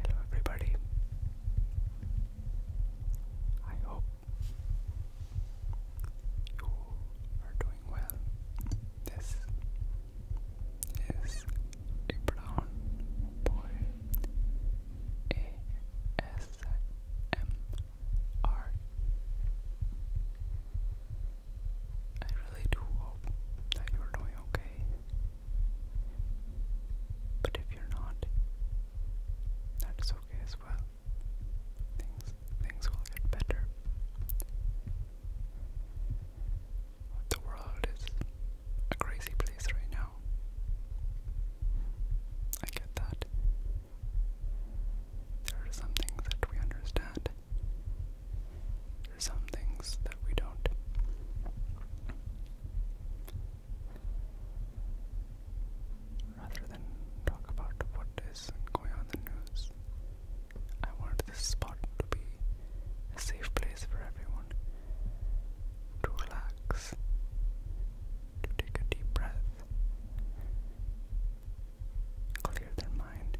Hello, everybody. I hope you are doing well. This is a boy ASMR I really do hope that you're doing okay. But if you're not, that's okay as well. Things things will get better. The world is a crazy place right now. I get that. There are some things that we understand, some things that we don't. Rather than talk about what is going on the news, I want this spot to be a safe place for everyone to relax, to take a deep breath, clear their mind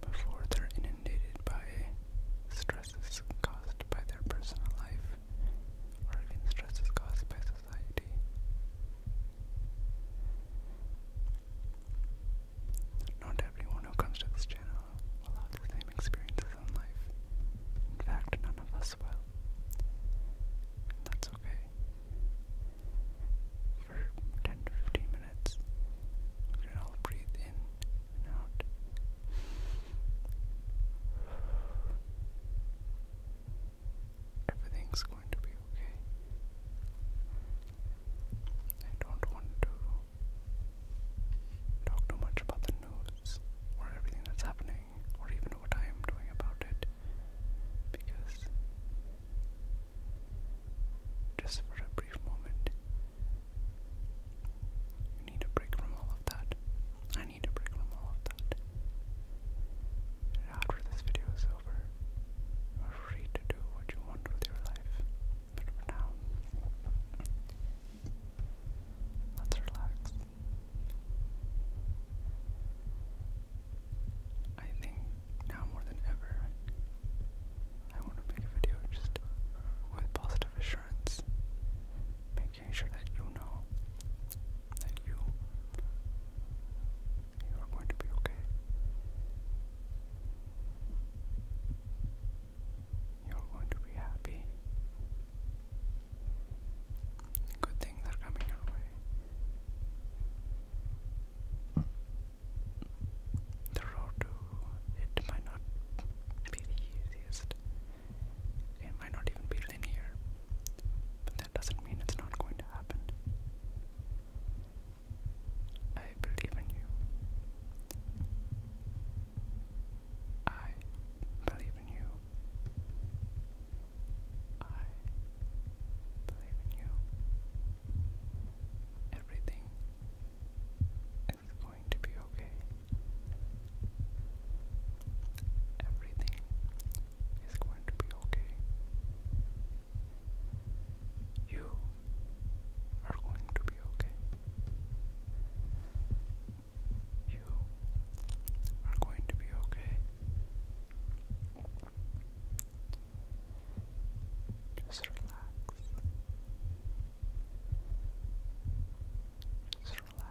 before they're inundated by stresses caused by their personal life or even stresses caused by society. Not everyone who comes to this channel will have the same experiences in life. In fact, none of us will. that's okay for 10 to 15 minutes. We can all breathe in and out. Everything's going to be okay. I don't want to talk too much about the news or everything that's happening or even what I am doing about it because just for a brief moment, you need a break from all of that. I need a break from all of that. after this video is over, free to do what you want with your life. But for now, let's relax. I think now more than ever, I want to make a video just with positive assurance, making sure that you know that you you are going to be okay. You're going to be happy. Good things are coming your way. The road to it might not be the easiest. It might not even be linear. But that doesn't mean it's not going to happen. I believe in you. I believe in you. I believe in you. Everything is going to be okay. Everything is going to be okay. You are going to be okay. You are going to be okay. Just relax. Just relax. Just relax. Relax.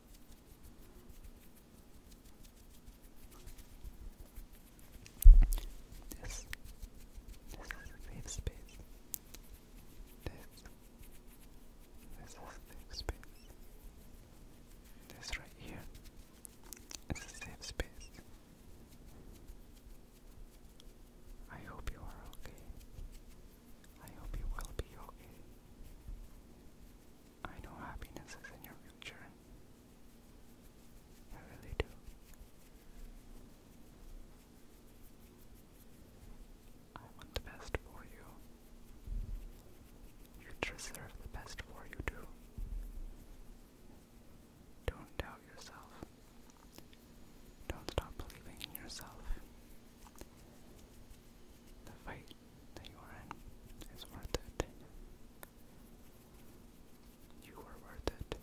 This, this is a safe space. This, this is a safe space. This right here is a safe space. I hope you are okay. I hope you will be okay. I know happiness is in your future. I really do. I want the best for you. You deserve the best for you too. Don't doubt yourself. Don't stop believing in yourself. The fight that you are in is worth it. You are worth it.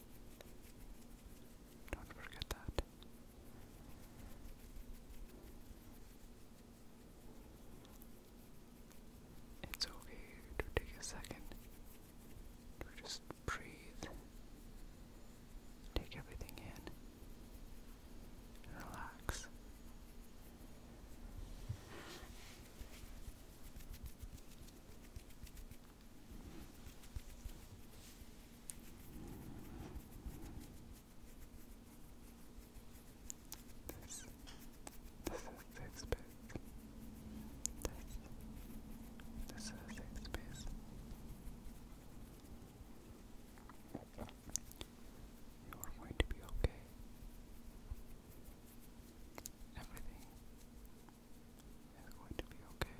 Don't forget that. It's okay to take a second to just breathe. Take everything in relax. This, this is safe space. This, this is safe space. You are going to be okay. Everything is going to be okay.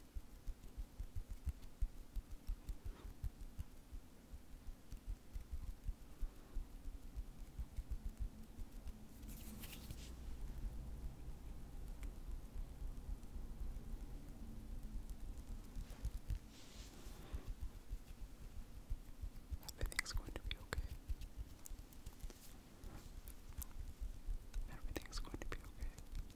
Everything's going to be okay. Everything's going to be okay.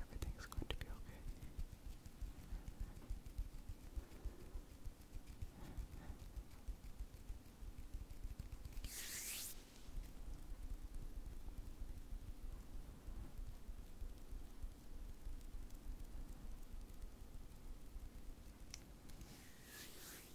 Everything's going to be okay.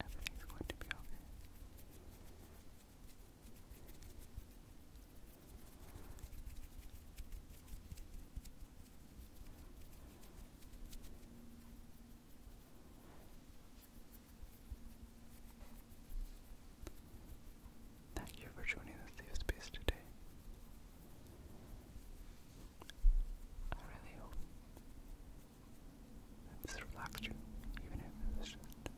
Everything's going to be okay. Thank you for joining the safe space today. I really hope this relaxed you, even if it was just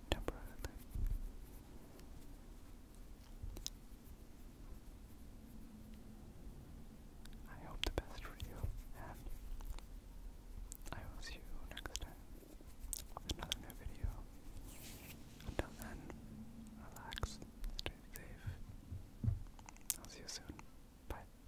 I hope the best for you, and I will see you next time with another new video. Until then, relax, stay safe. I'll see you soon. Bye.